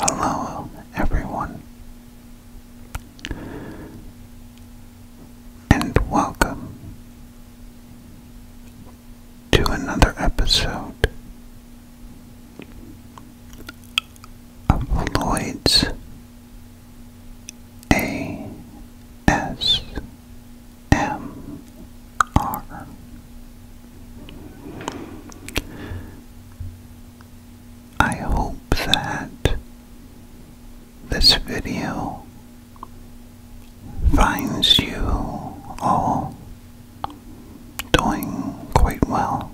Hello, everyone, and welcome to another episode of Lloyd's. A S M R. I hope that this video finds you all doing quite well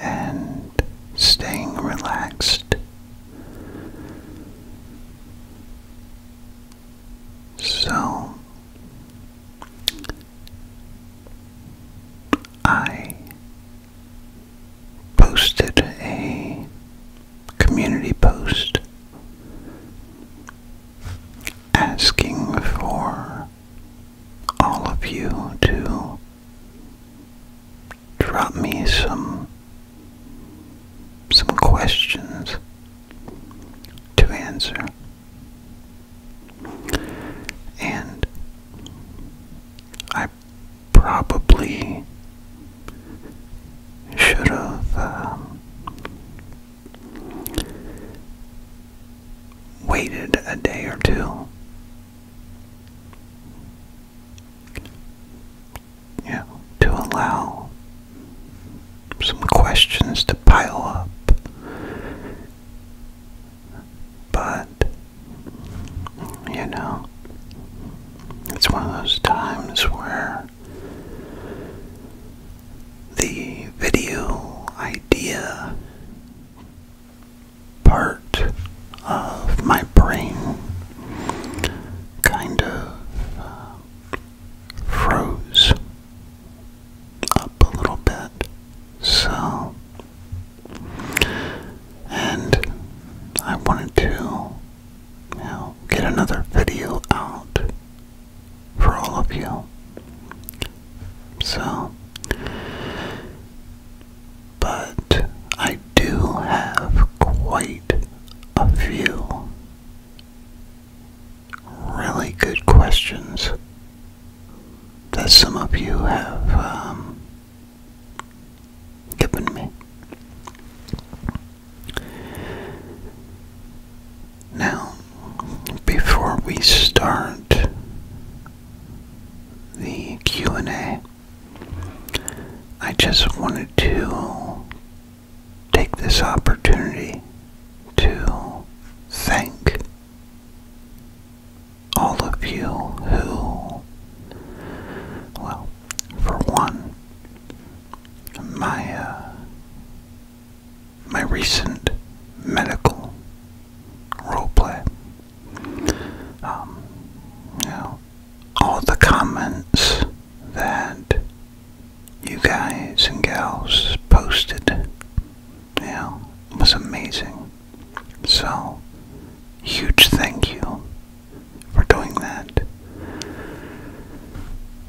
and staying relaxed. So I posted a community post asking for all of you to drop me some some questions to answer. And I probably should have um, waited a day or two you to allow some questions to pile up. But, you know, it's one of those times where the video idea part of my brain kind of uh, froze up a little bit. So, and I wanted to, you know, get another video out for all of you. So, but I do have quite a few really good questions that some of you have um, given me. Now, before we start the Q&A, I just wanted to take this opportunity to thank all of you who, well, for one, my uh, my recent medical roleplay. Um, you know, all the comments that you guys and gals posted. Yeah, was amazing. So, huge thank you for doing that.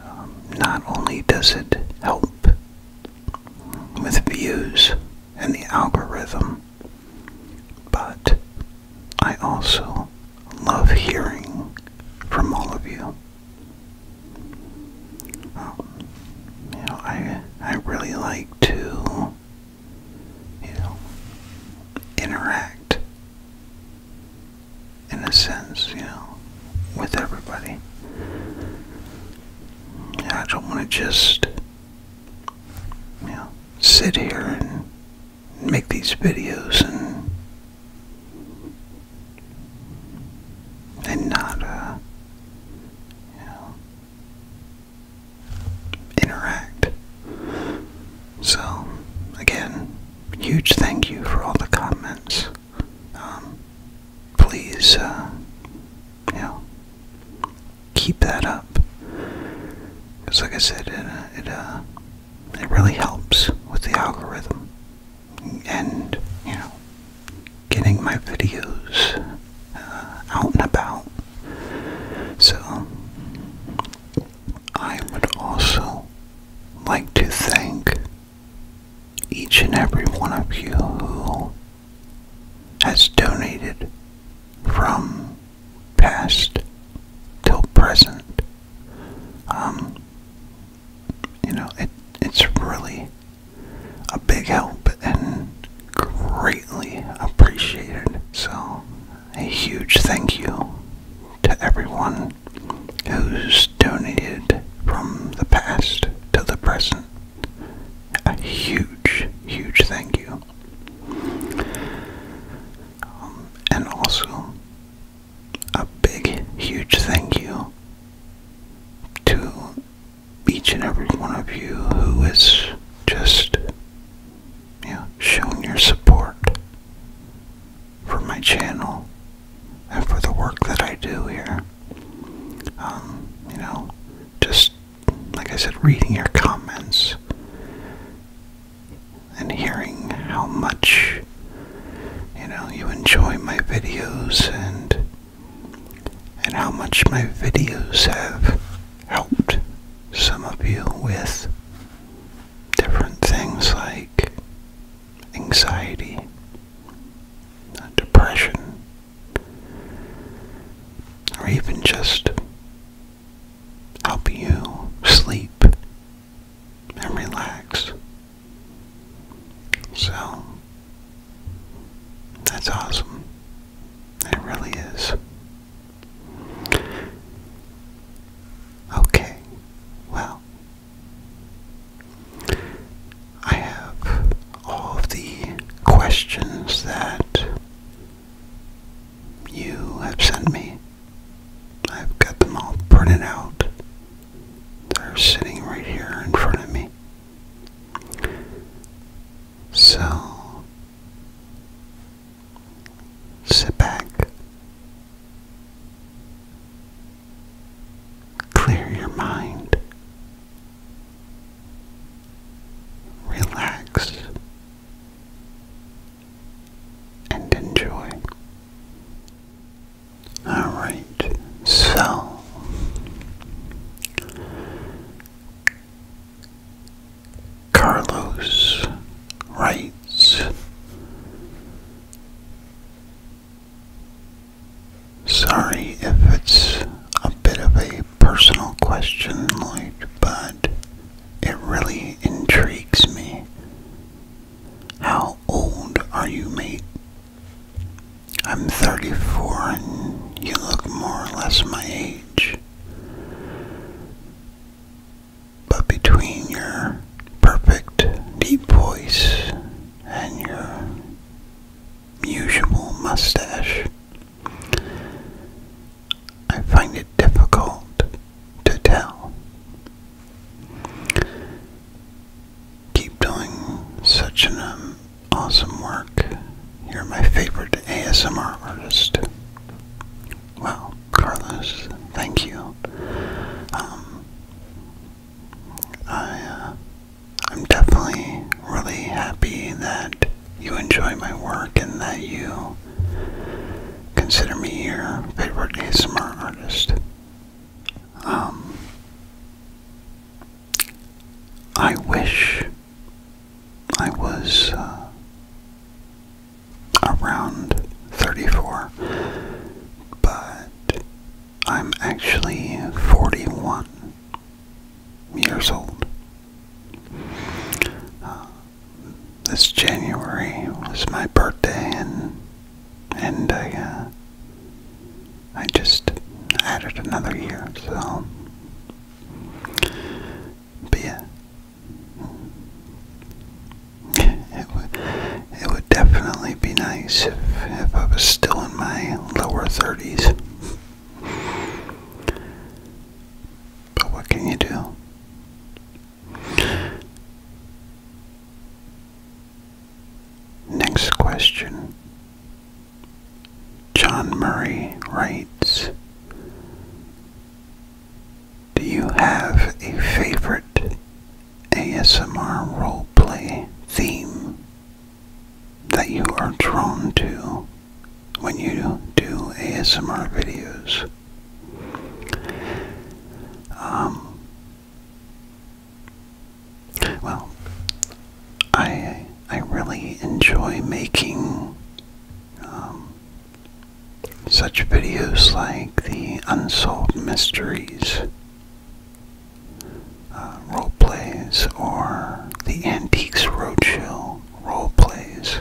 Um, not only does it help with views and the algorithm, but I also love hearing from all of you. Um, you know, I I really like to you know interact in a sense, you know, with everybody. I don't want to just you know sit here and make these videos and and not uh you know interact. So again, huge thank you for all the comments. Um, please uh you know keep that up. Cause like I said, it uh, it uh it really helps with the algorithm and, you know, getting my videos uh, out and about. So, I would also like to thank each and every one of you who has donated from past till present. Um, you know, it it's really a big help and greatly appreciated. So, a huge thank you to everyone who's donated from the past to the present. A huge, huge thank you. Um, and also, a big, huge thank you to each and every one of you who has just you know, shown your support for my channel and for the work that I do here. Um, you know, just like I said, reading your comments and hearing how much you know you enjoy my videos and and how much my videos have helped some of you with different things like anxiety, uh, depression, or even just help you sleep and relax. So, that's awesome. It really is. Okay, well, I have all of the questions that you have sent me I've got them all printed out. They're sitting right here in front of me. So, sit back, clear your mind, relax, and enjoy. All right, so Carlos writes. Sorry if it's a bit of a personal question, Lloyd, but it really intrigues me how old are you, mate? I'm 34 and you look more or less my age. But between your perfect deep voice and your usual mustache, I find it difficult to tell Keep doing such an um, awesome work. You're my favorite ASMR artist. Wow, Carlos, thank you. Um, uh, I'm definitely really happy that you enjoy my work and that you consider me your favorite ASMR artist. Um, I wish I was uh, around 34, but I'm actually 41 years old. Uh, this January was my birthday, and I, uh, I just added another year, so, but yeah, it would, it would definitely be nice if, if I was still in my lower 30s, but what can you do? Next question. John Murray writes Do you have a favorite ASMR roleplay theme that you are drawn to when you do ASMR videos? Um, well, I I really enjoy making um, such videos like the unsolved mysteries, uh, role plays, or the antiques roadshow role plays.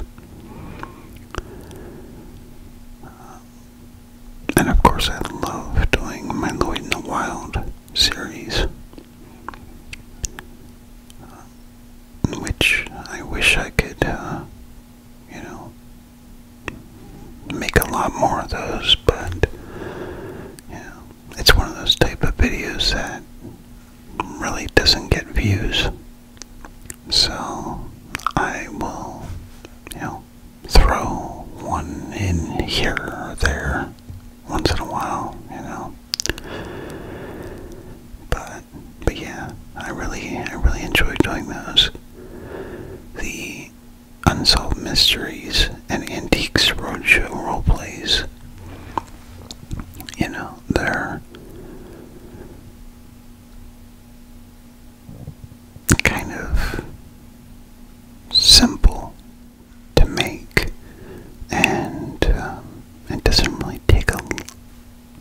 And of course, I love doing my Lloyd in the Wild series, uh, which I wish I could, uh, you know, make a lot more of those, but, it's one of those type of videos that really doesn't get views. So I will, you know, throw one in here or there once in a while, you know. But but yeah, I really I really enjoy doing those. The Unsolved Mysteries and Antiques Roadshow plays, You know, they're kind of simple to make, and um, it doesn't really take a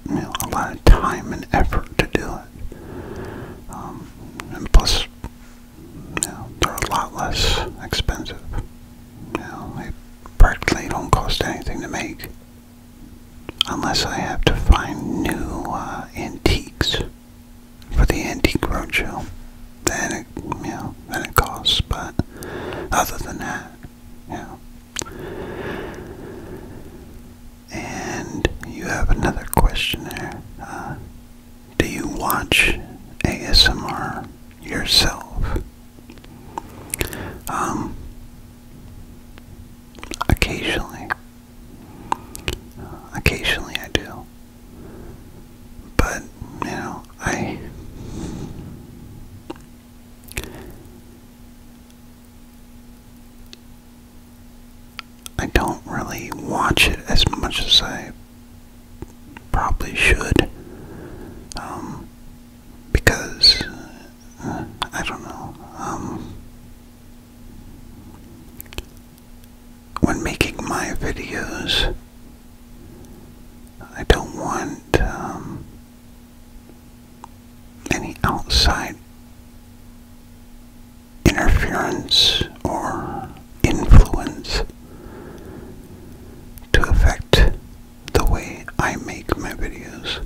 you know a lot of time and effort to do it. Um, and plus, you know, they're a lot less expensive. You know, they practically don't cost anything to make, unless I have to find new uh, antiques for the antique roadshow than it, you know, than it costs. But other than that, yeah. And you have another question there. Uh, do you watch ASMR yourself? Um, occasionally, uh, occasionally I do. But, you know, I. I don't really watch it as much as I probably should. Um, because, uh, I don't know. Um, when making my videos, I don't want um, any outside interference or influence to affect the way I make my videos.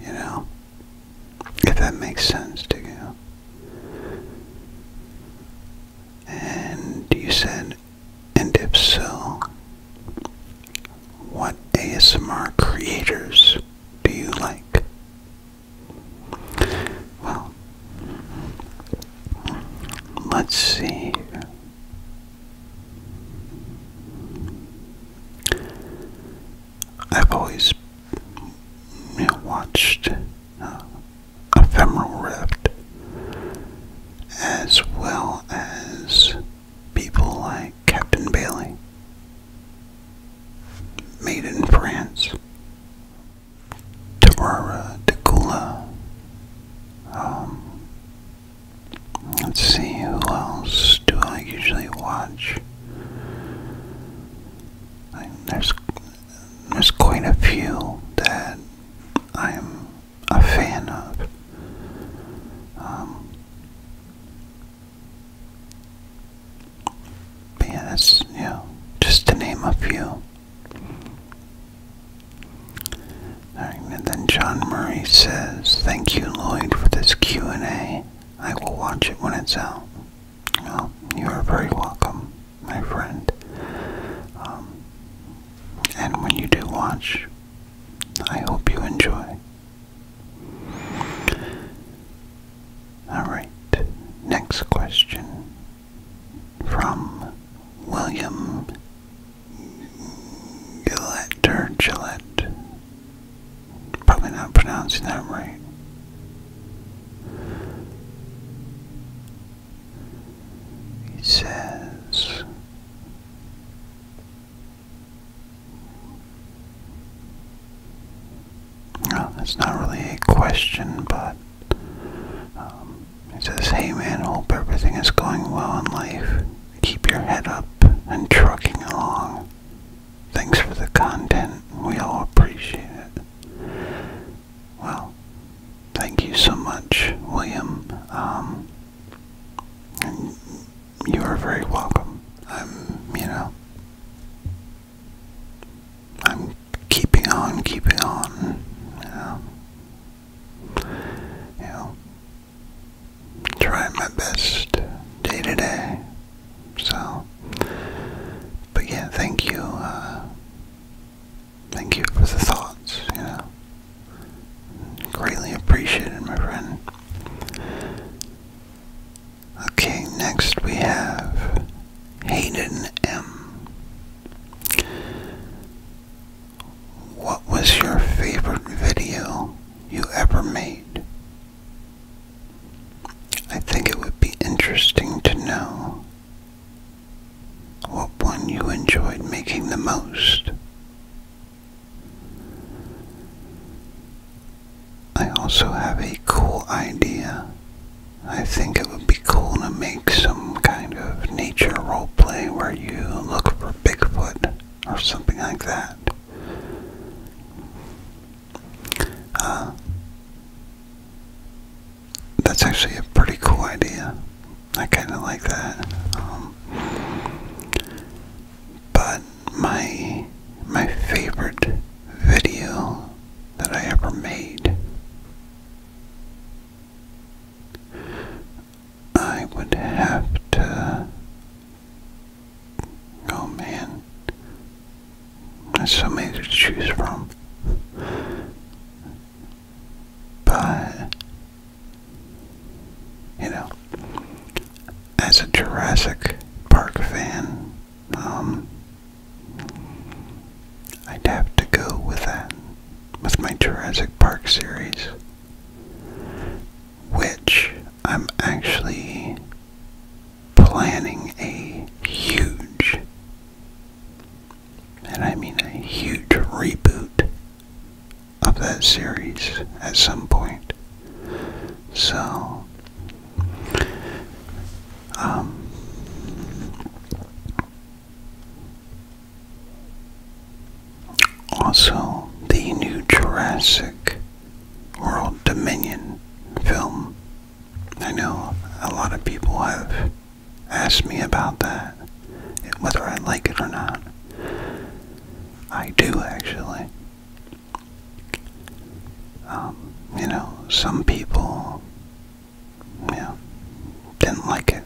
You know? If that makes sense to you. And you said, and if so, what ASMR creators do you like? Well, let's see. I've always watched uh, ephemeral rift, as well as people like Captain Bailey, made in France, Tarara Degula. Um, let's see, who else do I usually watch? there's there's quite a few that I'm a fan of. Um, yeah, just to name a few. Alright, and then John Murray says, Thank you, Lloyd, for this Q&A. I will watch it when it's out you are very welcome, my friend. Um, and when you do watch, I hope you enjoy. Alright, next question from William Gillette. Probably not pronouncing that right. He says, well, that's not really a question, but um, he says, hey man, hope everything is going well in life. Keep your head up and trucking along. Thanks for the content. We all appreciate it. Well, thank you so much, William. Um, you are very welcome. I'm, you know, I'm keeping on, keeping on. You know, you know trying my best day to day. So, but yeah, thank you. Uh, Thank you for the thoughts, you know. Greatly appreciated, my friend. Okay, next we have Hayden M. What was your favorite video you ever made? I think it would be interesting to know what one you enjoyed making the most. I also have a cool idea. I think it would be cool to make some kind of nature role play where you look for Bigfoot or something like that. Uh, that's actually a pretty cool idea. I kind of like that. Um, but my my favorite video that I ever made, I would have to. Oh man, there's so many to choose from. But, you know, as a Jurassic Park fan, um, I'd have to go with that, with my Jurassic Park series, which I'm actually planning a huge and I mean a huge reboot of that series at some point. So, um, also the new Jurassic World Dominion film. I know a lot of people have Ask me about that, whether I like it or not. I do actually. Um, you know, some people, you didn't like it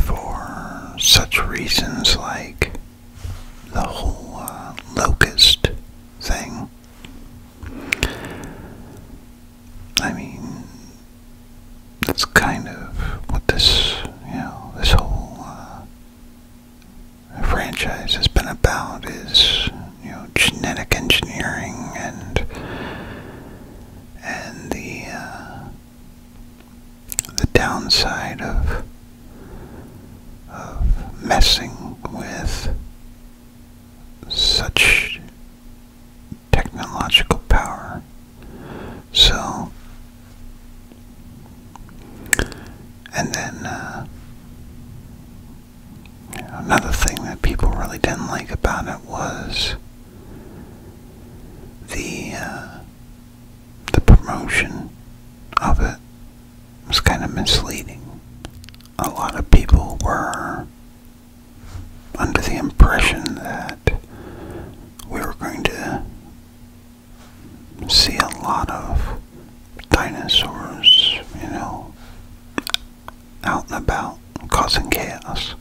for such reasons like the whole uh, locust thing. I mean, that's kind of what this, you know, this whole uh, franchise has been about is, you know, genetic engineering and and the uh, the downside of of messing with such technological power. So, and then uh, another thing that people really didn't like about it was the uh, the promotion of it was kind of misleading. A lot of people were under the impression that we were going to see a lot of dinosaurs, you know, out and about causing chaos.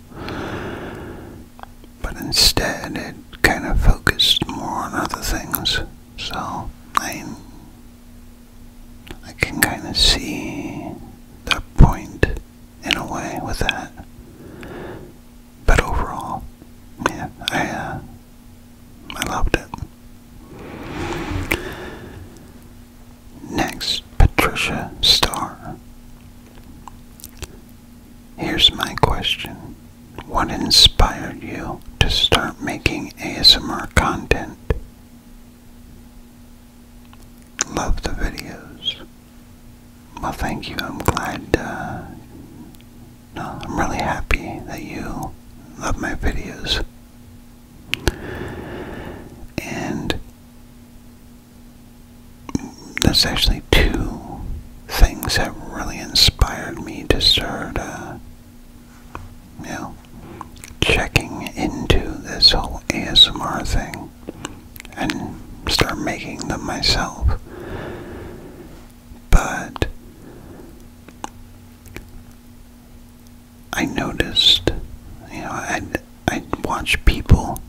But instead, it kind of focused more on other things. So I, I can kind of see the point in a way with that. But overall, yeah, I uh, I loved it. Next, Patricia Star. Here's my question. What inspired you to start making ASMR content? Love the videos. Well, thank you. I'm glad. Uh, no, I'm really happy that you love my videos. And that's actually two things that really inspired me to start, uh, you know, checking into this whole ASMR thing and start making them myself. But I noticed, you know, I'd, I'd watch people,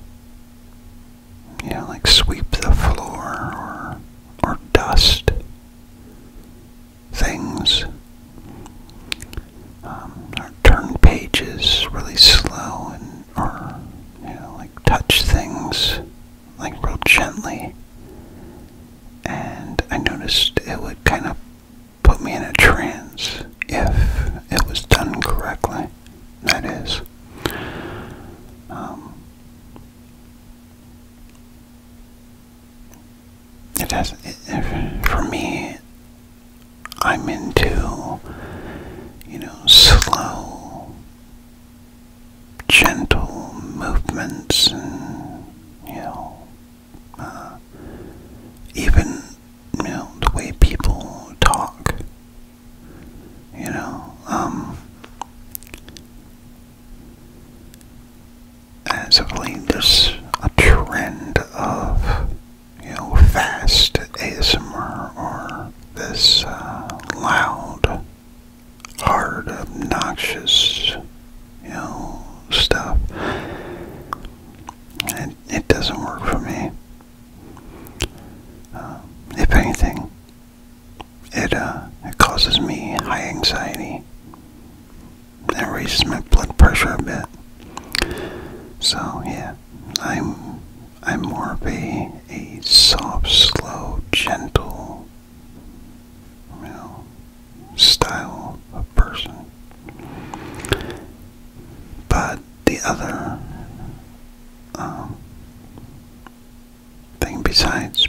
you know, like sweep the floor or, or dust things. Um, turn pages really slow and or you know like touch things like real gently and I noticed it would kind of put me in a trance if it was done correctly. That is. Um, it has, it, for me, I'm into, you know, slow, gentle movements and, you know, uh, even, you know, the way people talk, you know, um, as of late, there's a trend of you know, fast ASMR or this uh, loud, hard, obnoxious, you know, stuff. It, it doesn't work for me. Uh, if anything, it, uh, it causes me high anxiety. It raises my blood pressure a bit. So, yeah, I'm I'm more of a, a soft, slow, gentle, style of person. But the other um, thing besides,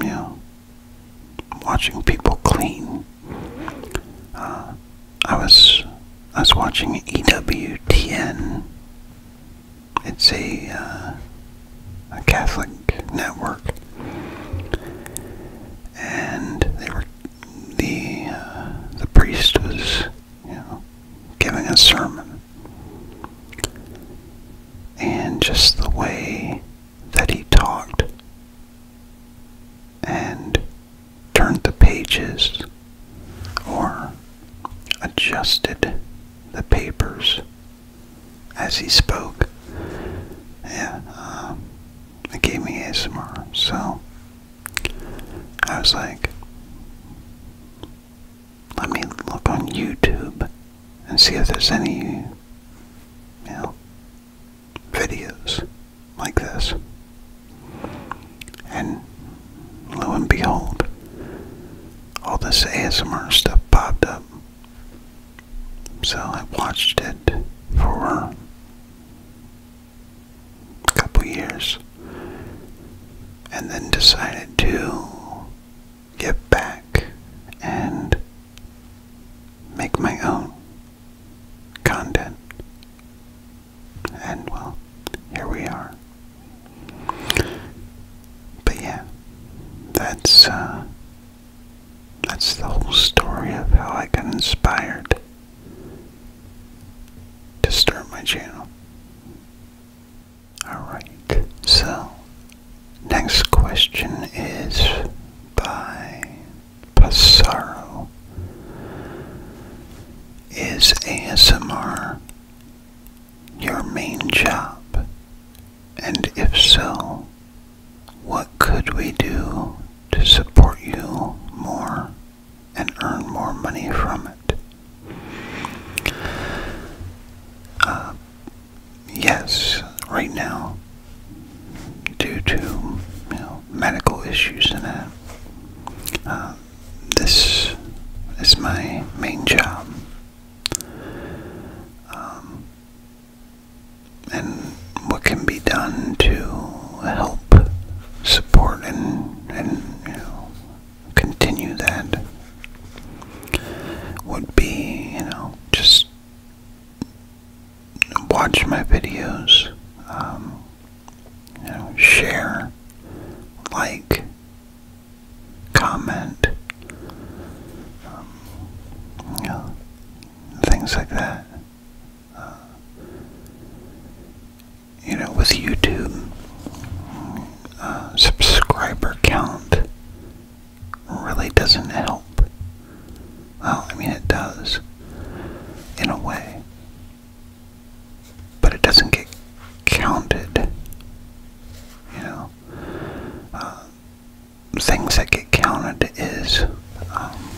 you know, watching people clean, uh, I was I was watching EWTN. It's a uh, a Catholic network, and they were the uh, the priest was giving a sermon, and just the way that he talked, and turned the pages or adjusted the papers as he spoke. Yeah, um, it gave me ASMR. So I was like, let me look on YouTube and see if there's any, you know, videos like this. And lo and behold, all this ASMR stuff popped up. So I watched it for a couple years and then decided to get back and make my own content and well, here we are. But yeah, that's uh, that's the whole story of how I got inspired to start my channel. Alright, so next question is by Passaro. Is ASMR your main job? And if so, what could we do to support you more and earn more money from it? Uh, yes, right now, due to you know, medical issues and a this is my main job. Um, and what can be done to help support and, and continue that would be, you know, just watch my videos, um, you know, share, like, comment, um, you know, things like that. Uh, you know, with YouTube, uh, subscriber count really doesn't help. Well, I mean, it does in a way but it doesn't get counted. You know, um, things that get counted is um,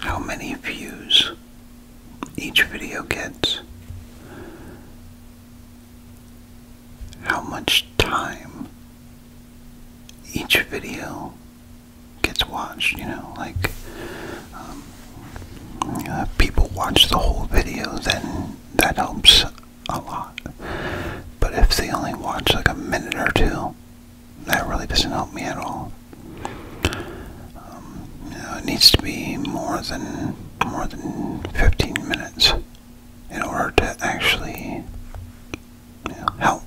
how many views each video gets, how much time each video gets watched, you know, like um, people watch the whole video, then that helps a lot. But if they only watch like a minute or two, that really doesn't help me at all. Um, it needs to be more than more than 15 minutes in order to actually help.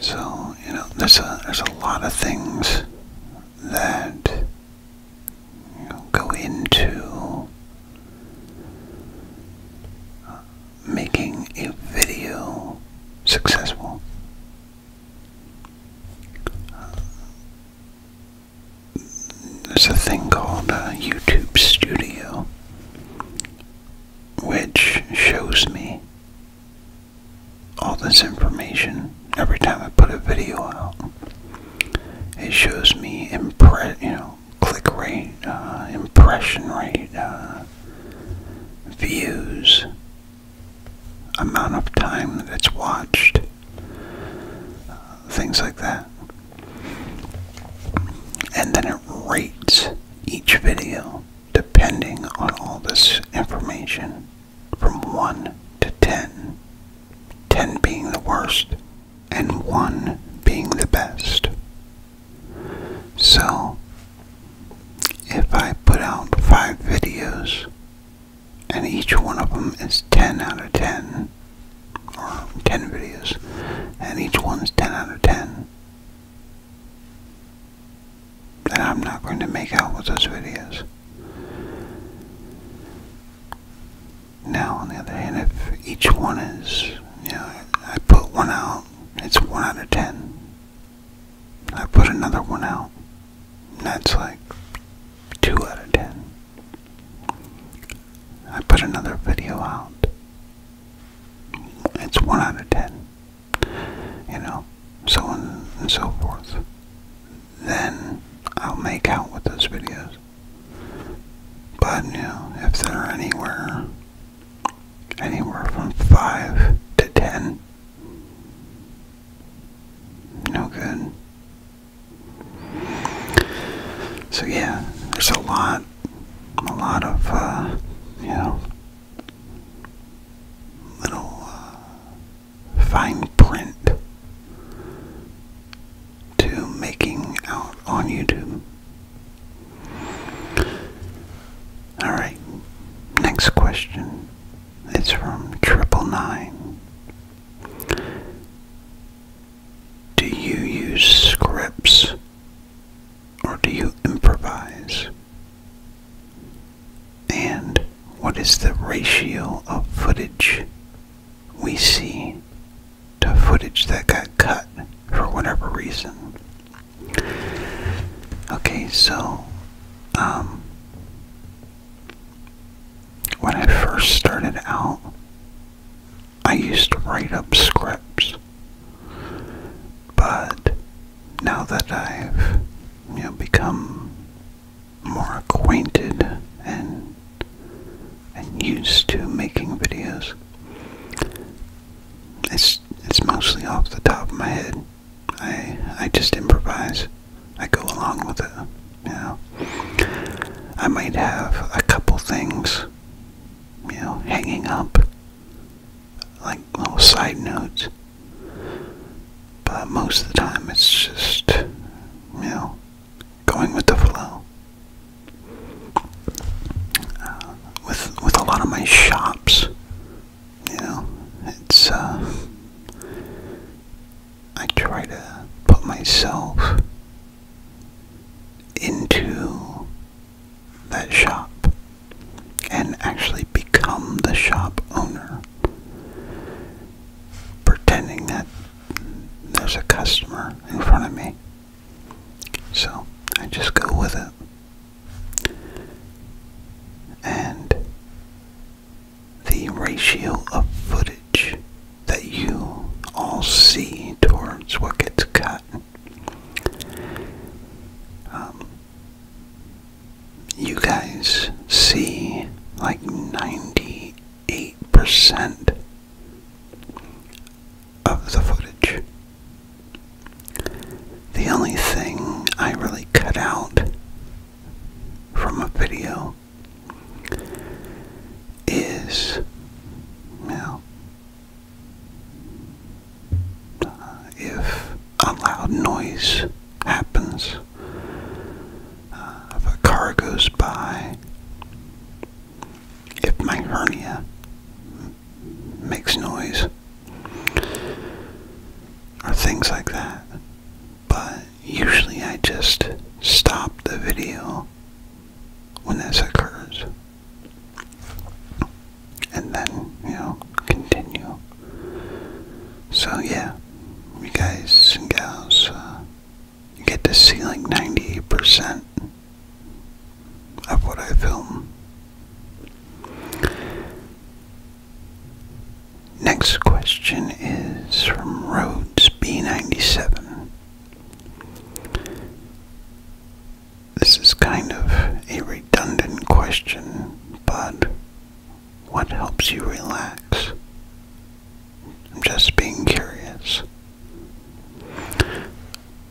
So you know, there's a, there's a lot of things that go into uh, making a video successful. Uh, there's a thing called YouTube Studio, which shows me all this information every time I put a video out. It shows me impre you know click rate, uh, impression rate, uh, views, amount of time that it's watched, uh, things like that. And then it rates each video depending on all this information, from 1 to 10, 10 being the worst and 1 being the best. So, if I put out 5 videos and each one of them is 10 out of 10, or 10 videos, and each one's 10 out of 10, that I'm not going to make out with those videos. Now, on the other hand, if each one is, you know, I put one out, it's one out of ten. I put another one out, that's like two out of ten. I put another video out, it's one out of ten you know, so on and so forth, then I'll make out with those videos. But, you know, if they're anywhere, anywhere from 5 to 10, no good. So yeah, there's a lot, a lot of, uh, you know, little uh, fine print to making out on YouTube. Alright, next question. It's from Triple Nine. Do you use scripts or do you improvise? and what is the ratio of footage we see to footage that got cut for whatever reason. Okay, so um, when I first started out, I used to write up scripts, but now that I've you know become more acquainted and and used to making videos, it's it's mostly off the top of my head. I I just improvise. I go along with it. You know, I might have a couple things, you know, hanging up, like little side notes. But most of the time, it's just, you know, going with the flow. Uh, with with a lot of my shops, you know, it's uh, I try to put myself into that shop and actually become the shop owner, pretending that there's a customer in front of me. So I just go with it. And the ratio of footage that you all see towards what gets cut um, you guys see like 98% of the footage. The only thing I really cut out from a video is well, uh, if a loud noise happens, uh, if a car goes by, if my hernia makes noise, or things like that. But usually I just stop the video when this occurs and then, you know, continue. So yeah, you guys and gals, uh, you get to see like 98% of what I film. Next question is from Roads B97. This is kind of a redundant question, but what helps you relax? I'm just being curious.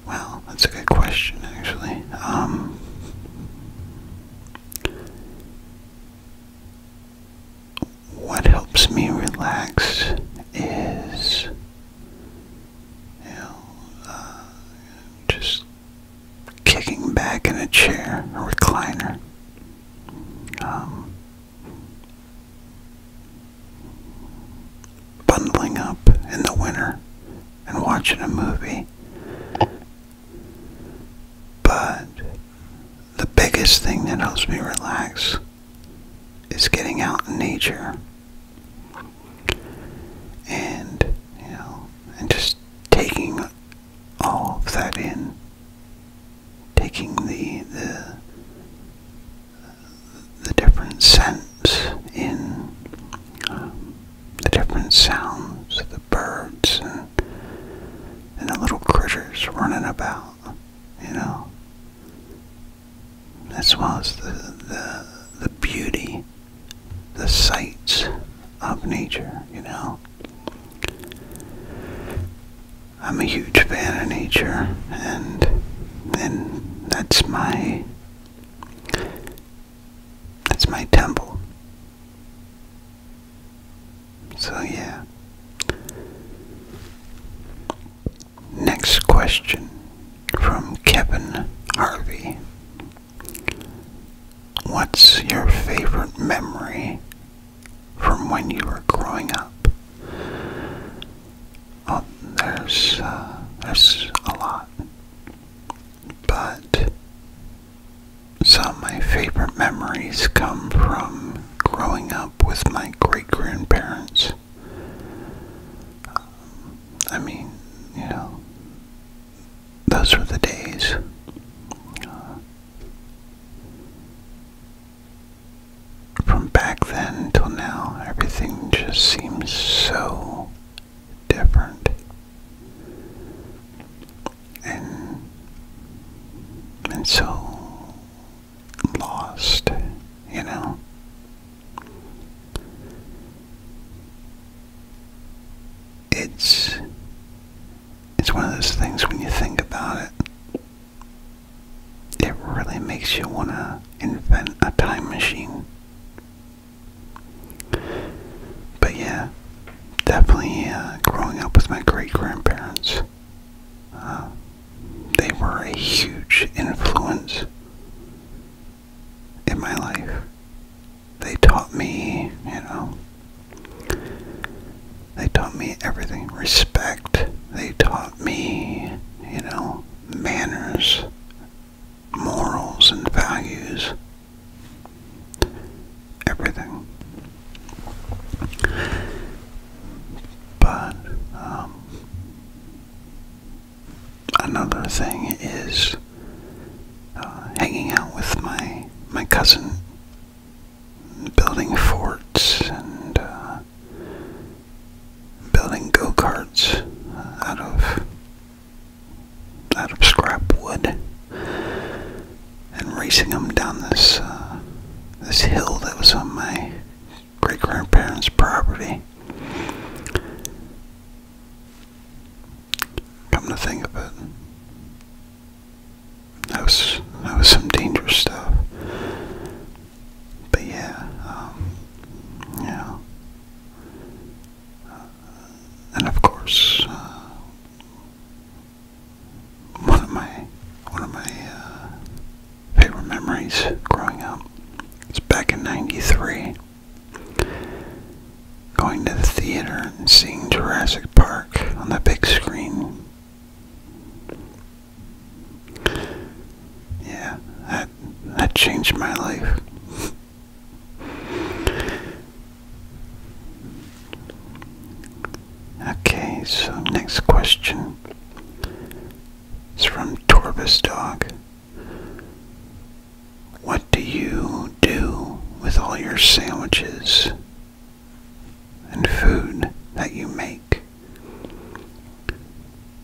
Well, that's a good question, actually. Um, what helps me relax is, you know, uh, just kicking back in a chair, recliner. Um, bundling up in the winter and watching a movie. But the biggest thing that helps me relax is getting out in nature and, you know, and just taking all of that in, taking the the different scents in, the different sounds of the birds and and the little critters running about, you know, as well as the the beauty, the sights of nature, you know. I'm a huge fan of nature, and and that's my that's my temple. So yeah. Next question from Kevin Harvey. What's your favorite memory from when you were growing up? there's, uh, there's a lot. But some of my favorite memories come from growing up with my great grandparents. Um, I mean, you know, those were the days. Uh, from back then till now, everything just seems so different. And, and so lost, you know? It's it's one of those things when you think about it, it really makes you want to invent a time machine. But yeah, definitely uh, growing up with my great grandparents, uh, they were a huge influence in my life they taught me, you know, they taught me everything. Respect. They taught me, you know, manners, morals, and values. Everything. But, um, another thing is uh, hanging out with my my cousin building forts and uh, building go-karts out of out of scrap wood and racing them down this uh, this hill that was on my great grandparents' property. Come to think of it, that was that was some dangerous stuff. But yeah, um, yeah, uh, and of course, uh, one of my one of my uh, favorite memories growing up is back in '93, going to the theater and seeing Jurassic Park on the big screen. Yeah, that, that changed my life. okay, so next question is from Torbus Dog. What do you do with all your sandwiches? and food that you make?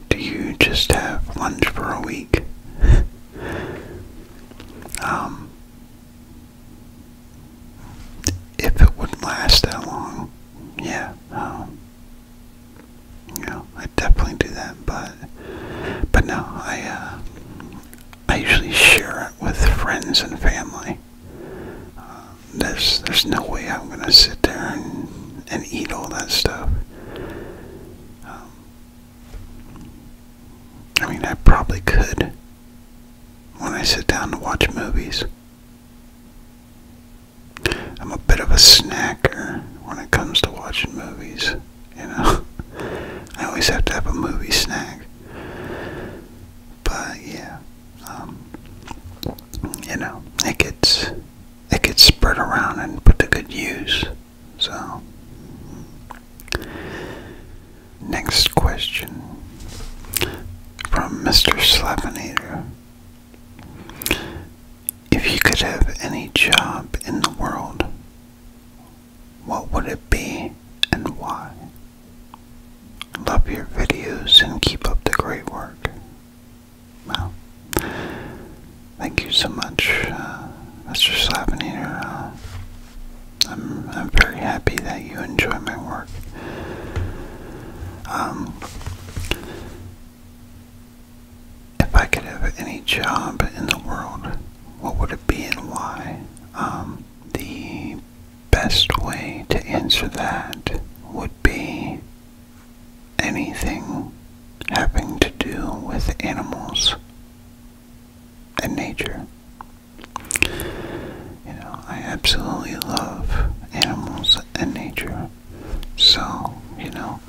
Do you just have lunch for a week? um, if it would last that long, yeah, um, I definitely do that, but, but no, I, uh, I usually share it with friends and family. Uh, there's there's no way I'm gonna sit there and eat all that stuff. Um, I mean, I probably could when I sit down to watch movies. I'm a bit of a snacker when it comes to watching movies. You know, I always have to have a movie snack but yeah, um, you know, it gets it gets spread around and put to good use. So, next question from Mr. Slapinator. If you could have any job in the world, what would it be and why? Love your videos and keep up the great work. Well, thank you so much, That's uh, Mr. Slavenator. Uh, I'm, I'm very happy that you enjoy my work. Um, if I could have any job in the world, what would it be and why? Um, the best way to answer that would be anything having to do with animals and nature. You know, I absolutely love animals and nature. So, you know,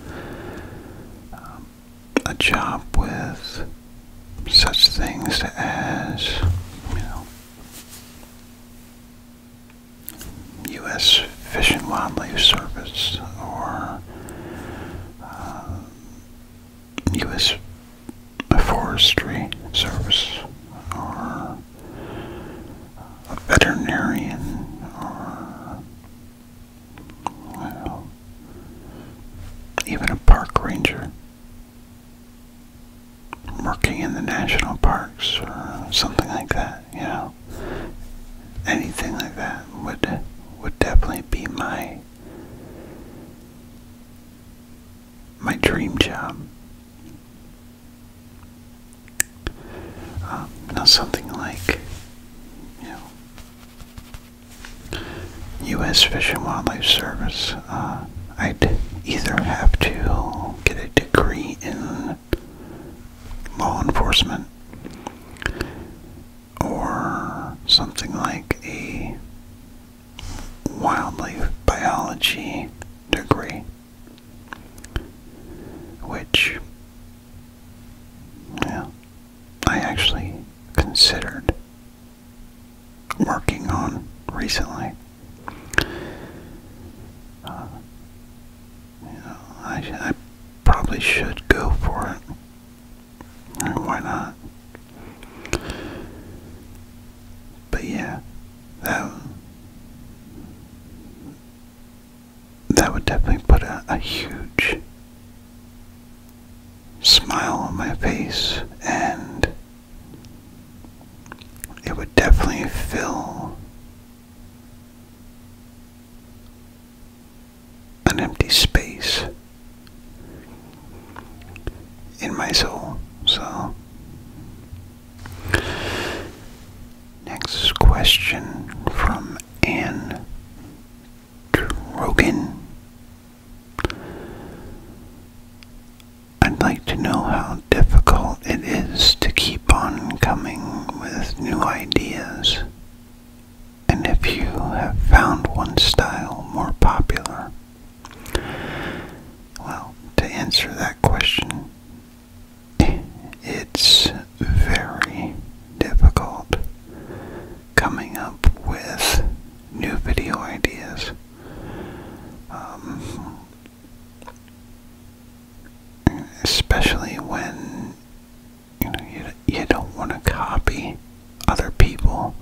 um, a job with such things as, you know, U.S. Fish and Wildlife Service or U.S. Uh, Forestry Service or a veterinarian or even a park ranger working in the national parks or something like that, you know. Anything like that would would definitely be my my dream job. Um, now something like, you know, U.S. Fish and Wildlife Service. Uh, I'd either have to get a degree in law enforcement or something like a wildlife biology degree, which yeah, I actually considered working on recently. Uh, you know, I, probably should go for it. why not? But yeah, that that would definitely put a huge smile on my face and it would definitely fill an empty space in my soul. So, next question from Anne Drogan. I'd like to know how difficult it is to keep on coming with new ideas, and if you have found one style more popular. Well, to answer that question, it's very difficult coming up with new video ideas. Um, especially when you know you you don't want to copy other people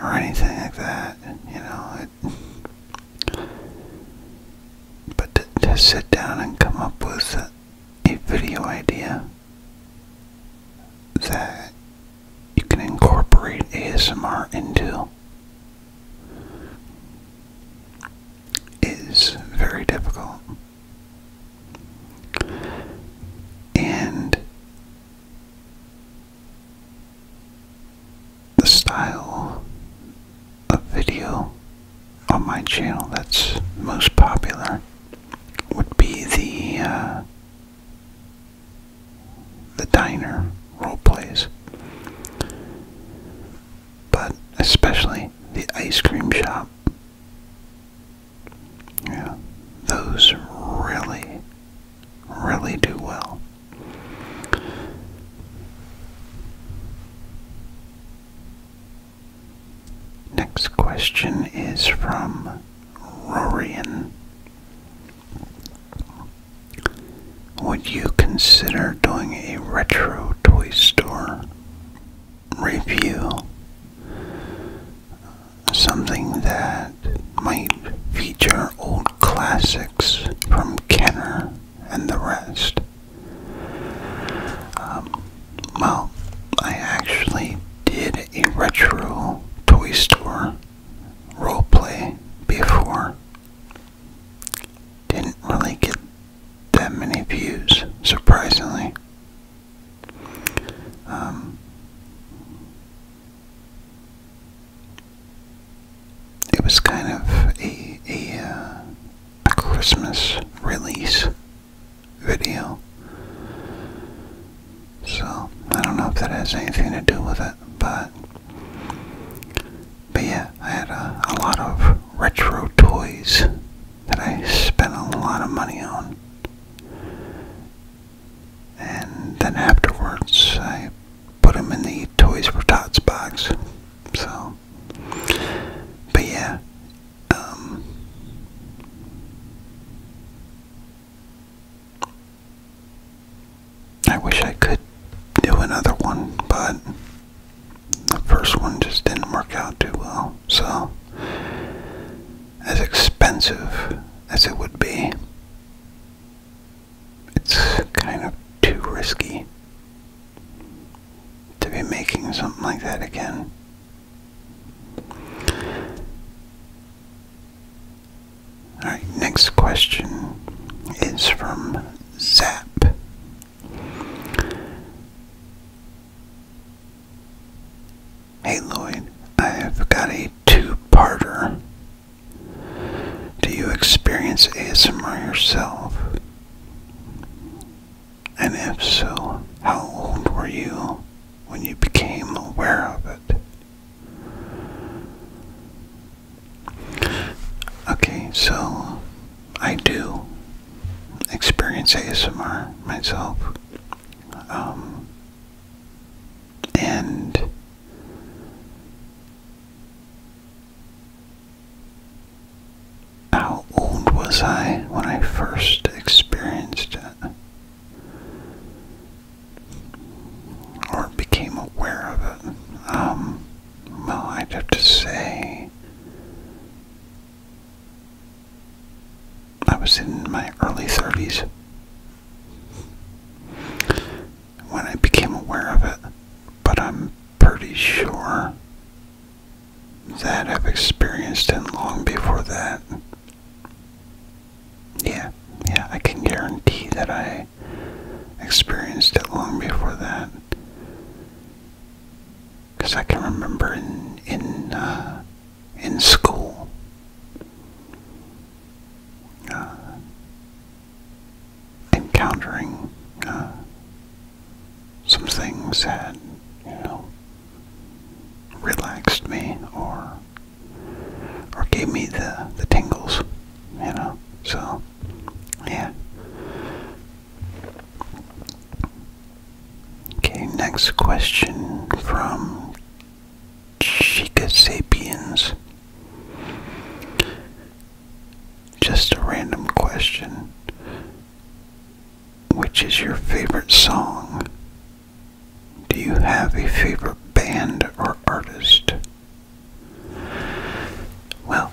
or anything like that. You know, but to, sit down and come up with a video idea that you can incorporate ASMR into is very difficult. And the style of video on my channel that's most popular would be the uh, the diner role plays, but especially the ice cream shop. Yeah, those really, really do well. Next question is from Rorian. Would you consider doing a retro toy store review? Something that might feature old classics from Kenner and the rest. Um, well, I actually did a retro toy store role play before didn't really get that many views, surprisingly. Um, it was kind of a a, uh, a Christmas release video, so I don't know if that has anything to do with it, but but yeah, I had a, lot of retro toys that I spent a lot of money on. And then afterwards, I put them in the Toys for Tots box. So, but yeah, um, I wish I could do another one, but the first one just didn't work out too well. So, as expensive as it would be, it's kind of too risky to be making something like that again. All right, next question is from Zap. Hey Lloyd, I have got a two-parter. Do you experience ASMR yourself? And if so, how old were you when you became aware of it? Okay, so I do experience ASMR myself. Um, and how old was I when I first experienced it? Or became aware of it. Um, well, I'd have to say I was in my early 30s when I became aware of it, but I'm pretty sure that I've experienced it long before that. Yeah, yeah, I can guarantee that I experienced it long before that. Because I can remember in in uh, in school, uh, encountering uh, some things that you know relaxed me or or gave me the the tingles, you know. So yeah. Okay, next question from Chica Sapiens. Just a random question. Which is your favorite song? Do you have a favorite band or artist? Well,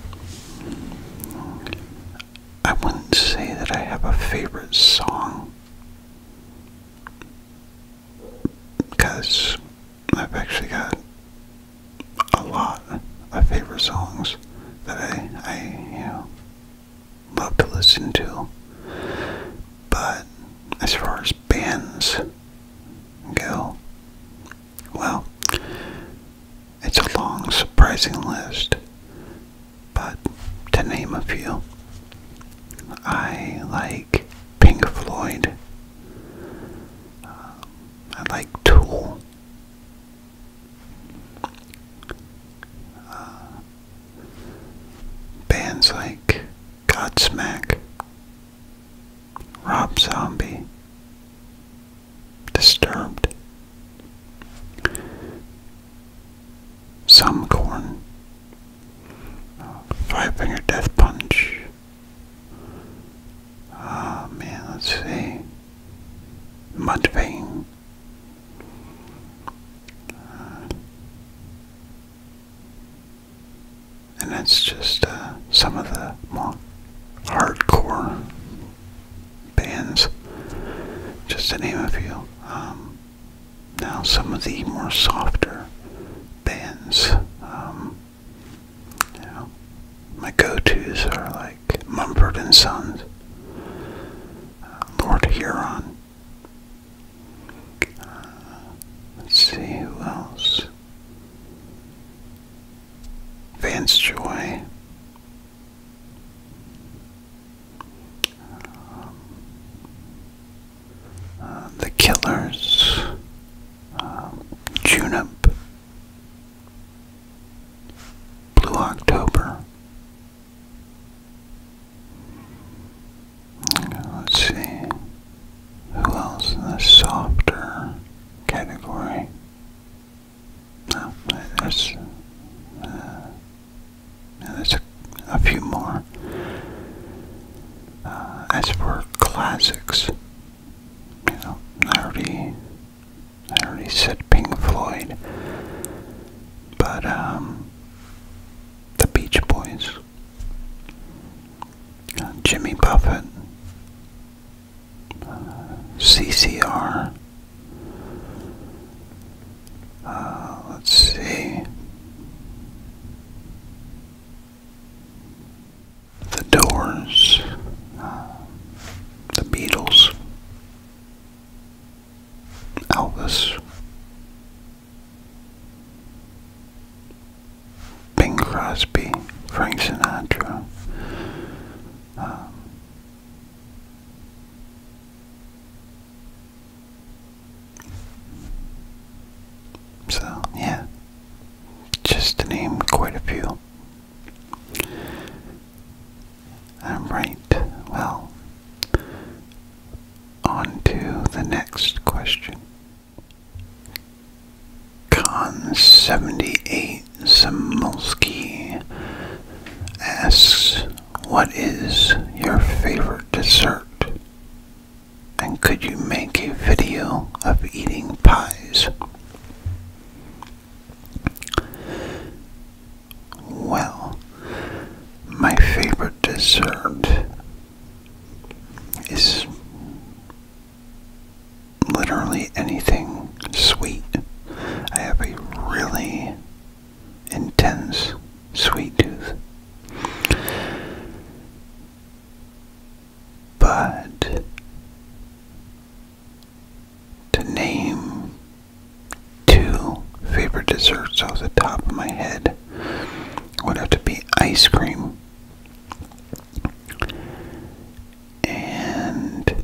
I wouldn't say that I have a favorite song because I've actually got a lot of favorite songs that I, I you know, love to listen to. But as far as bands go, well, it's a long, surprising list, but to name a few, I like Pink Floyd, uh, I like Tool. Uh, bands like Godsmack, Rob Zombie, Disturbed, Some Corn, Five Finger Death Punch. Ah man, let's see. Mudvayne. Uh, and that's just uh, some of the more hardcore bands, just to name a few. Um, now some of the more softer bands, um, my go-to's are like Mumford and Sons, uh, Lord Huron. Uh, let's see who else. Vance Joy. Um, uh, the Killers, um, Junip, Blue October. Let's see. Who else in the softer category? there's, there's uh, a, a few more. Uh, as for classics, you know, I already, I already said Pink Floyd, but um, the Beach Boys, uh, Jimmy Buffett, CCR. Uh, let's see. The Doors, uh, The Beatles, Elvis, Bing Crosby, Frank Sinatra. Um, so, yeah, just to name quite a few. I'm right. Well, on to the next question. Con 78 Simulski asks, What is your favorite dessert? And could you make a video of eating pies? Well, my favorite dessert is literally anything sweet. I have a really intense sweet tooth. But to name two favorite desserts off the top of my head would have to be ice cream and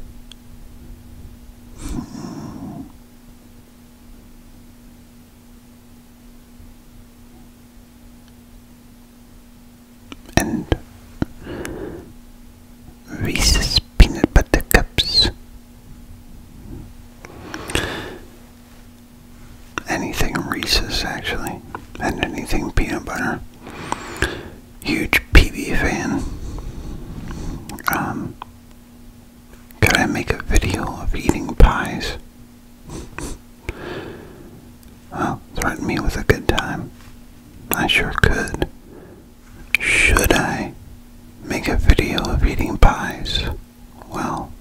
and Reese's peanut butter cups. Anything Reese's actually, and anything peanut butter huge PB fan. Um, could I make a video of eating pies? Well, threaten me with a good time. I sure could. Should I make a video of eating pies? Well,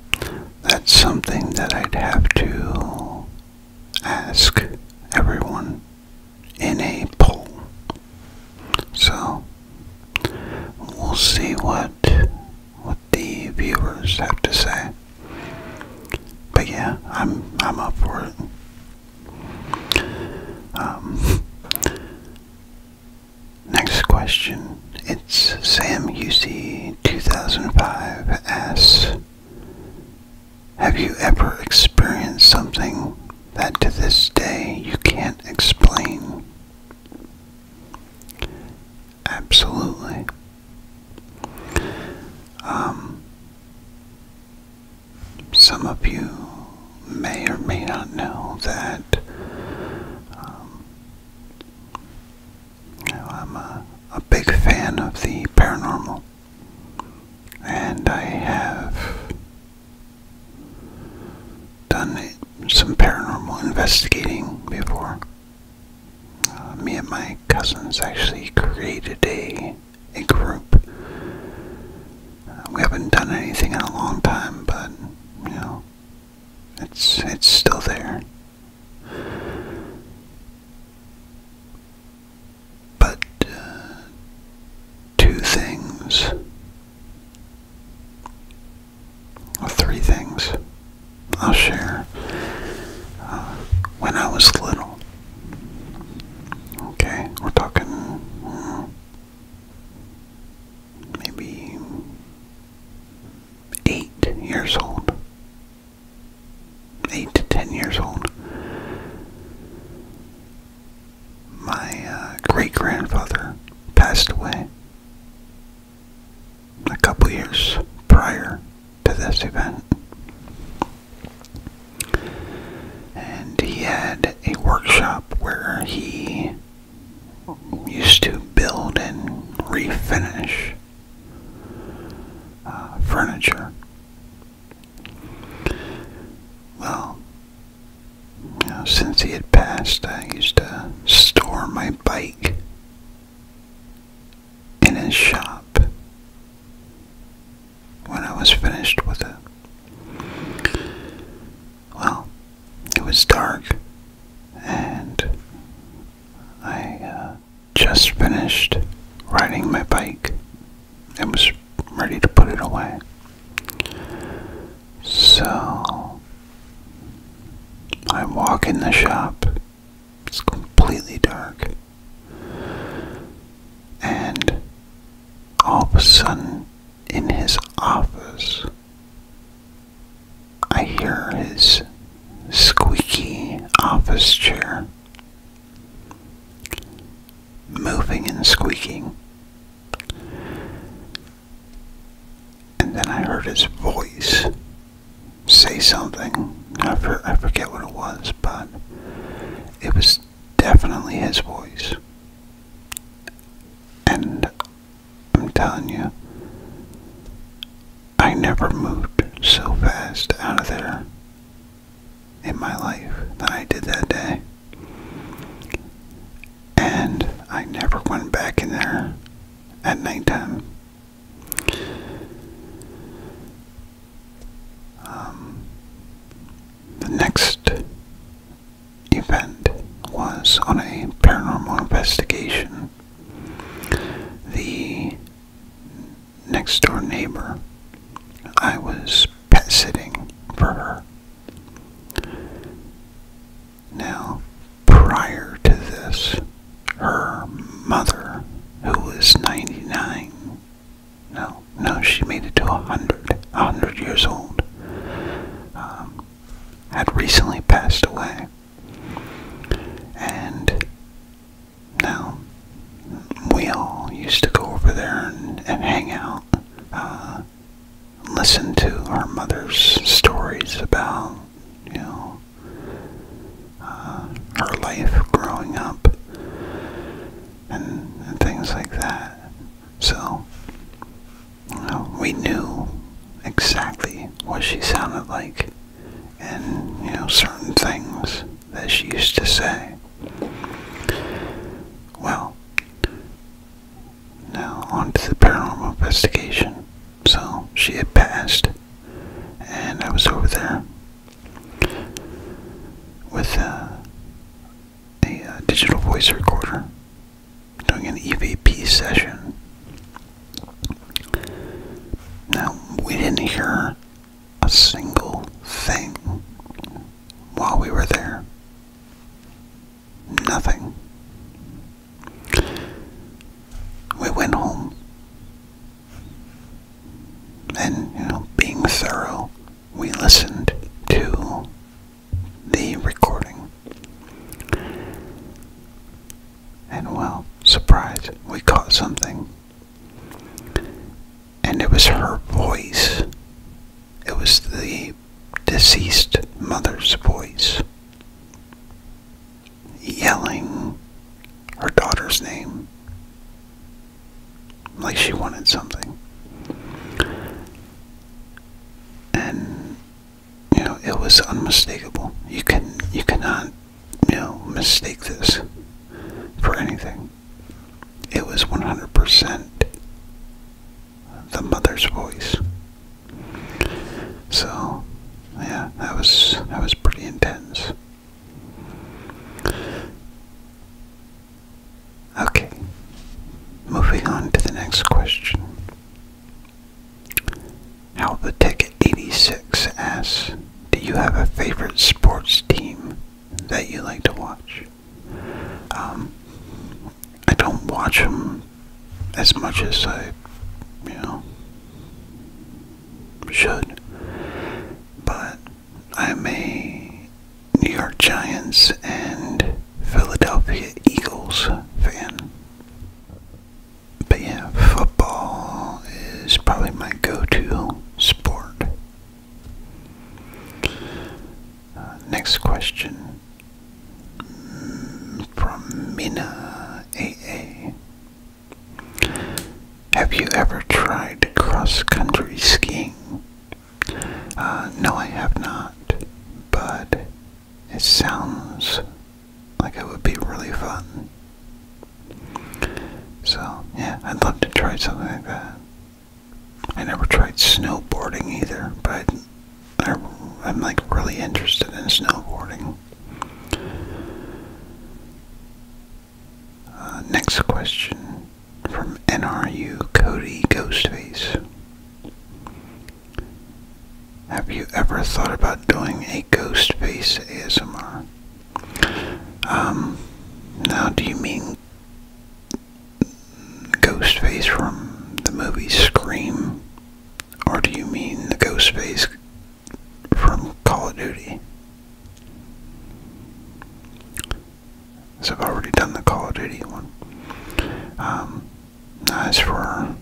that's something that I'd have to ask everyone in a poll. So we'll see what what the viewers have to say. But yeah, I'm I'm up for it. Um, next question. It's Sam UC 2005 asks have you ever experienced something that to this day you can't explain? Absolutely. Um, some of you may or may not know that um, I'm a, a big fan of the paranormal and I have done some paranormal investigating before. Uh, me and my cousins actually created a a group. Uh, we haven't done anything in a long time, but you know, it's it's still there but uh, two things, or three things, I'll share. Uh, when I was little, okay, we're talking hmm, maybe eight years old eight to ten years old. My uh, great grandfather passed away a couple years prior to this event. And he had a workshop where he used to build and refinish uh, furniture well, since he had passed, I used to store my bike in his shop when I was finished with it. Well, it was dark, and I uh, just finished riding my bike and was ready to put it away. So I walk in the shop. It's completely dark. And all of a sudden, in his office, I hear his squeaky office chair moving and squeaking. And then I heard his voice say something. I, forget what it was, but it was definitely his voice. And I'm telling you, I never moved so fast out of there in my life that I did that day. And I never went back in there at nighttime. Um, the next event was on a paranormal investigation. The next door neighbor. I was pet sitting for her. Now, prior to this, her mother, who was 99, no, no, she made it to 100, 100 years old, um, had recently passed away. And now we all used to go over there and, hang out, uh, listen to our mother's stories about, you know, uh, her life growing up and, things like that. So, uh, we knew exactly what she sounded like and, you know, certain things that she used to say. Well, now on to the paranormal investigation. So she had passed, and I was over there with uh, a uh, digital voice recorder doing an EVP session. Now, we didn't hear a single thing while we were there. Nothing. We went home. And, being thorough, we listened to the recording. And well, surprise, we caught something and it was her voice. It was the deceased mother's voice yelling her daughter's name like she wanted something. And you know, it was unmistakable. You can you cannot, you know, mistake this for anything it was 100% the mother's voice. So, yeah, that was that was pretty intense. Okay, moving on to the next question. Halvatech86 asks, do you have a favorite sports team that you like to watch? Um, I don't watch them as much as I, you know, should. But I'm a New York Giants and Philadelphia Eagles fan. But yeah, football is probably my go to sport uh, next question from Mina A. Have you ever tried cross country skiing? Uh, no, I have not, but it sounds like it would be really fun. So, yeah, I'd love to try something like that. I never tried snowboarding either, but I, am like really interested in snowboarding. Uh, next question from NRU Cody Ghostface. Have you ever thought about doing a ghost face ASMR? Um, now do you mean Ghost face from the movie Scream? Or do you mean the ghost face from Call of Duty? So I've already done the Call of Duty one. Um, nice for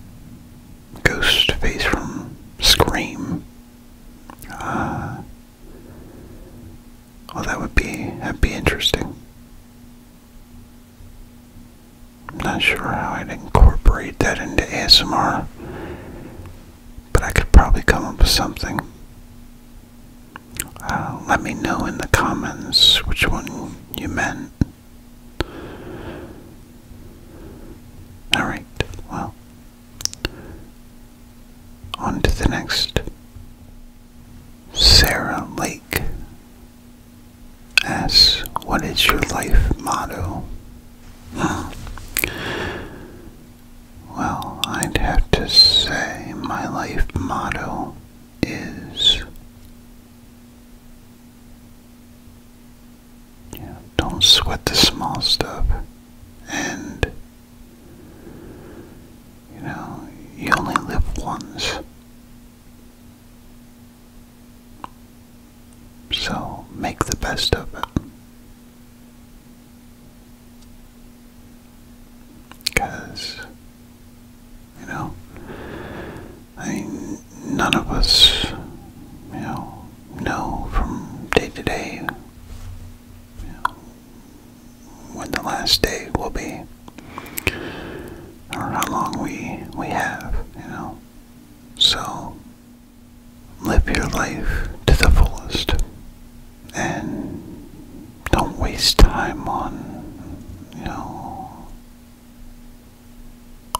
ghost face from Scream, uh, well, oh, that would be that'd be interesting. I'm not sure how I'd incorporate that into ASMR, but I could probably come up with something. Uh, let me know in the comments which one you meant. Alright, well, on to the next. Sarah Lake asks, What is your life motto? Well, I'd have to say my life motto is don't sweat the small stuff and you know, you only live once. So make the best of it. Because, you know, I none of us, you know, know from day to day when the last day will be, or how long we we have, you know. So live your life to the fullest, and don't waste time on, you know,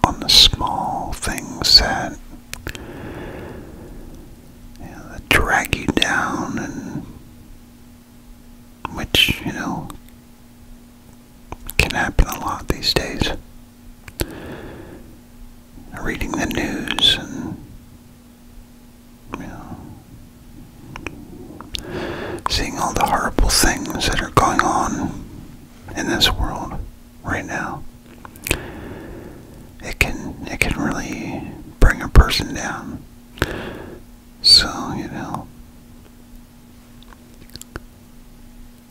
on the small things that. that drag you down and which, you know, can happen a lot these days. Reading the news and, seeing all the horrible things that are going on in this world right now. It can it can really bring a person down. So, you know,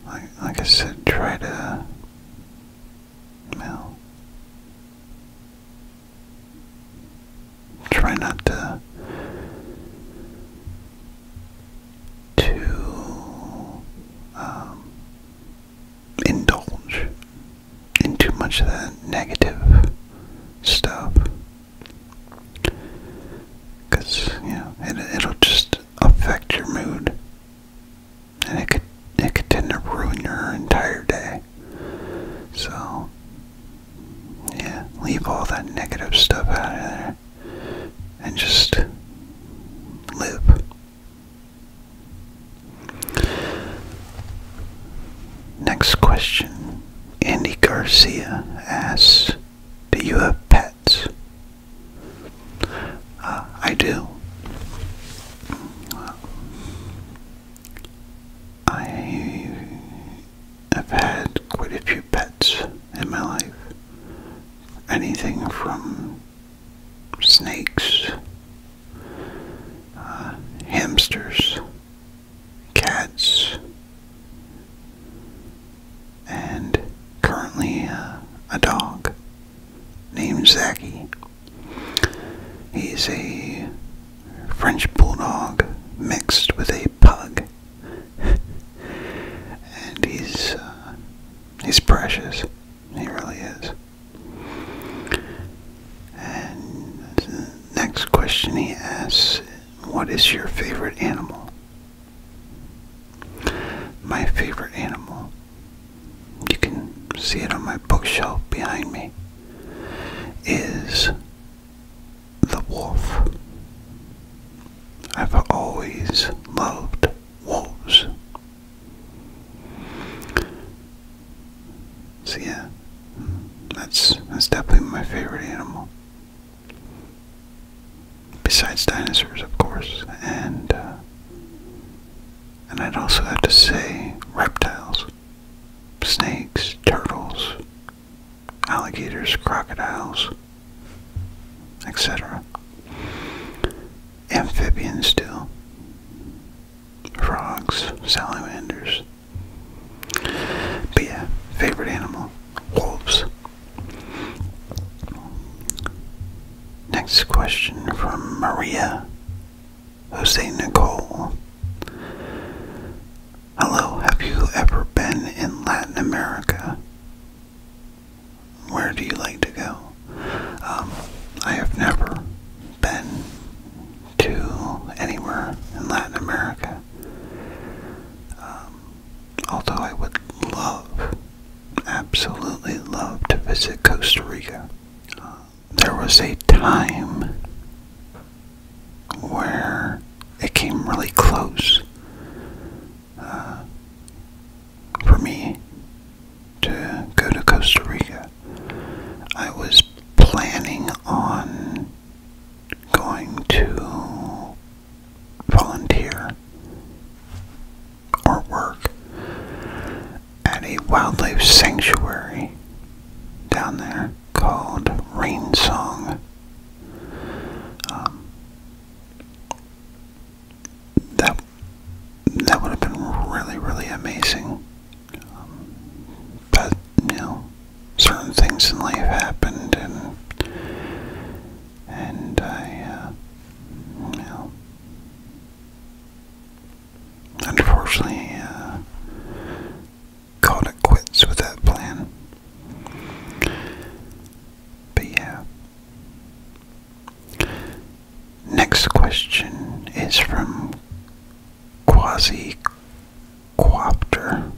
like, I said, try to, you know, try not to, to, um, indulge in too much of that negative stuff Cause yeah, it it'll just affect your mood, and it could it could tend to ruin your entire day. So yeah, leave all that negative stuff out of there, and just live. Next question Andy Garcia asks, Do you have pets? Uh, I do. I have had quite a few pets in my life. Anything from snakes, uh, hamsters, cats, and currently uh, a dog named Zaki. He's a French bulldog mixed with a pug, and he's uh, he's precious. He really is. And next question he asks what is your favorite animal? My favorite animal. You can see it on my bookshelf behind me. Is the wolf. I've always loved wolves. So yeah, that's that's definitely my favorite animal. Besides dinosaurs, of course, and uh, and I'd also have to say reptiles, snakes, turtles, alligators, crocodiles, etc. Amphibians too, frogs, salamanders. But yeah, favorite animal, wolves. Next question from Maria Jose Nicole. Hello, have you ever been in Latin America? Where do you like to go? Um, I have never been to anywhere in Latin America. Um, although I would love, absolutely love to visit Costa Rica. Uh, there was a time where it came really close uh, for me to go to Costa Rica. I was planning on going to volunteer or work at a wildlife sanctuary down there called Rain Song. Um, that that would have been really, really amazing. Um, but you certain things in life happened, and and I, uh, unfortunately, uh, called it quits with that plan. But yeah. Next question is from Quasi Quopter.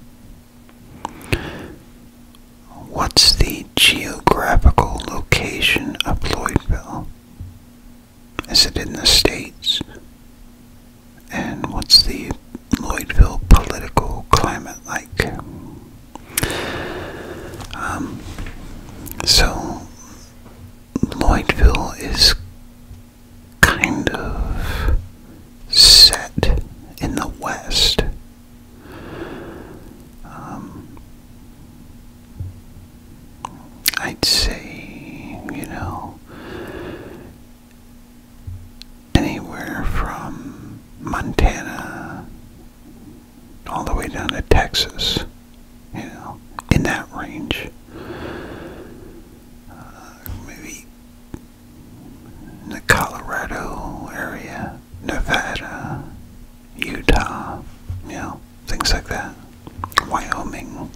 What's the geographical location of Lloydville? Is it in the States? And what's the Lloydville political climate like? Um, so, Lloydville is kind of set in the West. Um, I'd say, you know, anywhere from Montana all the way down to Texas, you know, in that range. Uh, maybe the Colorado area, Nevada, Utah, you know, things like that, Wyoming.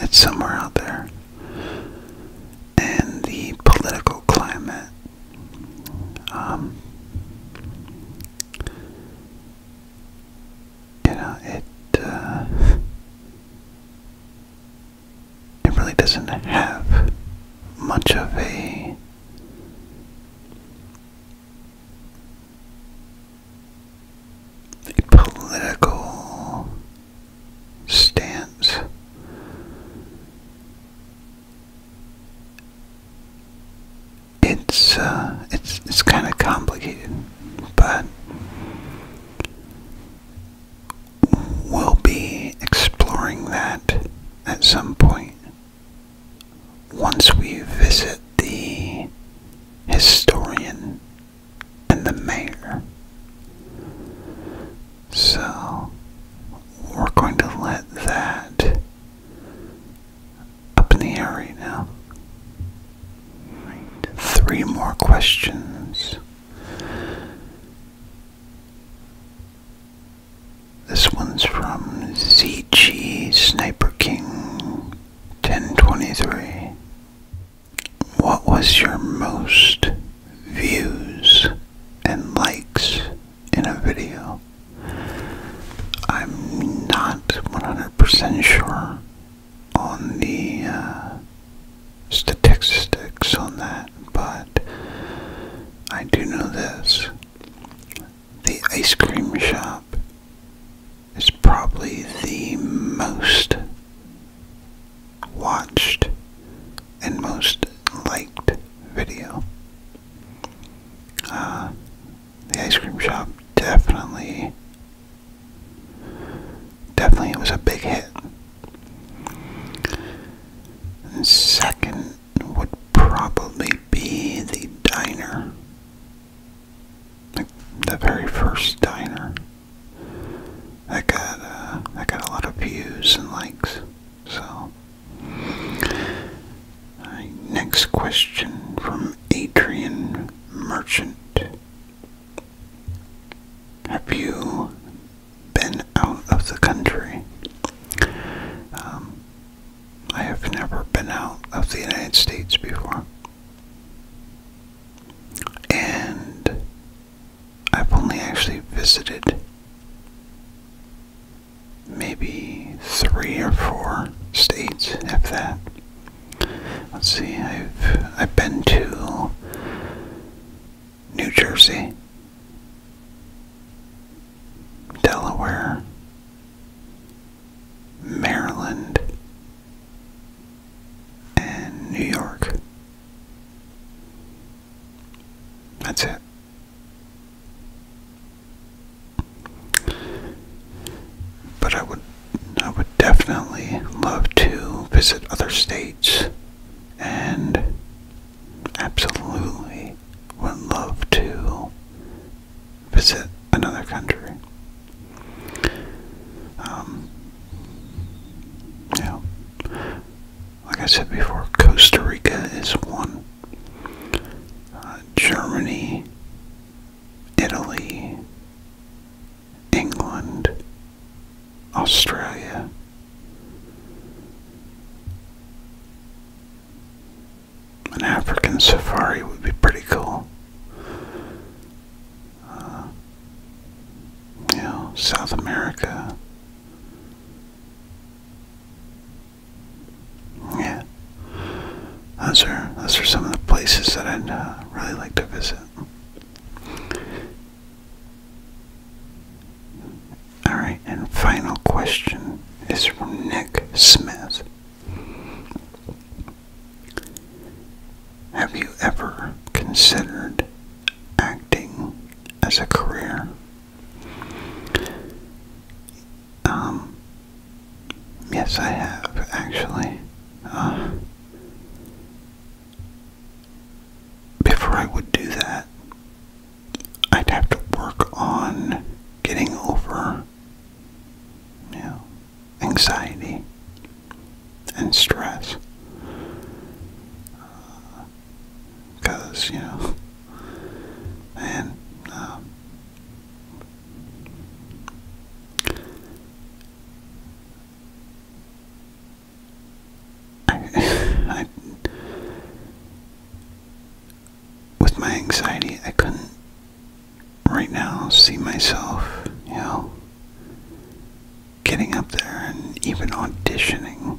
It's somewhere out there. And the political climate. Um, you know, it, uh, it really doesn't have much of a political stance. It's uh, it's it's kind of complicated, but we'll be exploring that at some point once we visit the historian and the mayor. So we're going to let that up in the air right now. Three more questions. This one's from ZG Sniper King 1023. What was your most views and likes in a video? I'm not 100% sure on the uh, statistics on that, but I do know this. The ice cream shop is probably the most watched and most liked video. Uh, the ice cream shop definitely Definitely, it was a big hit. Second would probably be the diner, like the very first diner. That got uh, got a lot of views and likes. So, next question from Adrian Merchant. Have you been out of the country? Um, I have never been out of the United States before. And I've only actually visited maybe three or four states, After that. Let's see, I've I've been to New Jersey, Delaware, Maryland, and New York. That's it. But I would I would definitely love to visit other states and absolutely would love to visit another country. Um, yeah, like I said before, Costa Rica is one. Uh, Germany, Italy, England, Australia. An African safari would be pretty cool. Uh, you know, South America. Yeah, those are those are some of the places that I'd uh, really like to visit. All right, and final question is from Nick Smith. Have you ever considered acting as a career? Um, yes, I have actually. Uh, before I would do that, I'd have to work on getting over you know, anxiety and stress. Because, uh, you know, and um, I, with my anxiety, I couldn't right now see myself, you know, getting up there and even auditioning,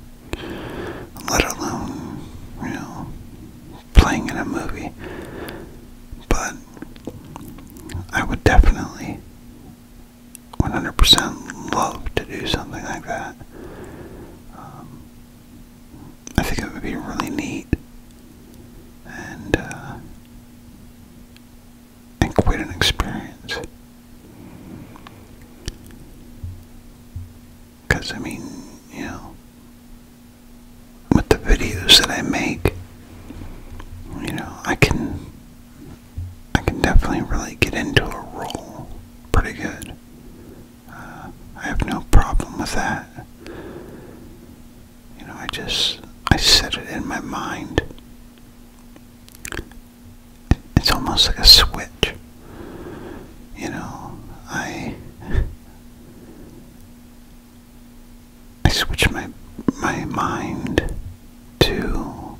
let alone, you know, playing in a movie. But I would definitely 100% love to do something like that. Um, I think it would be really neat and uh, and quite an experience. Because I mean, you know, with the videos that I make, you know, I can I can definitely really get into a role pretty good. Uh, I have no problem with that. You know, I just, I set it in my mind. It's almost like a switch. You know, I, I switch my, my mind to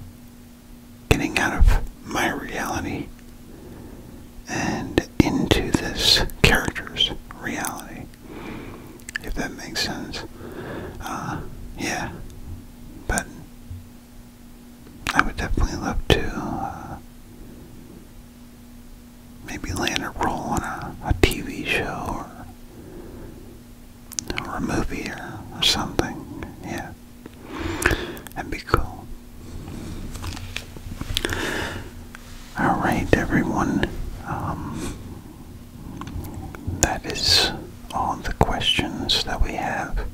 getting out of my reality and into this character's reality, if that makes sense. Uh, yeah, but I would definitely love to uh, maybe land a role on a, a TV show or or a movie or, something. Yeah. and be cool. Alright, everyone. Um, that is all the questions that we have.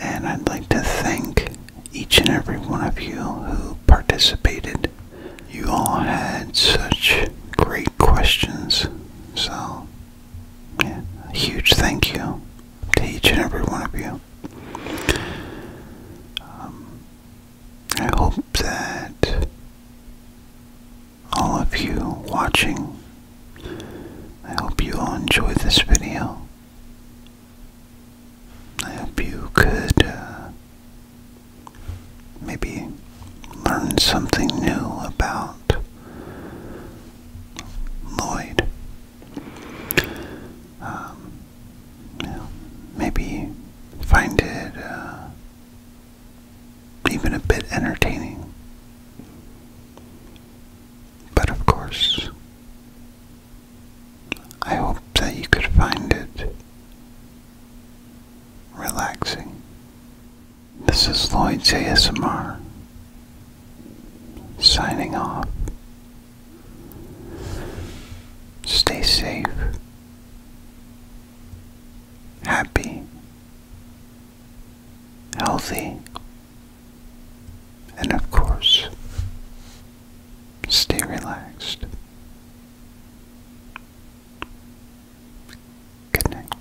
And I'd like to thank each and every one of you who participated. You all had such great questions. So a huge thank you to each and every one of you. Um, I hope that all of you watching, I hope you all enjoyed this video. I hope you could uh, maybe learn something new about Lloyd. Um, maybe find it uh, even a bit entertaining. But of course, I hope that you could find it relaxing. This is Lloyd ASMR signing off. Stay safe, happy, healthy, and of course, stay relaxed. Good night.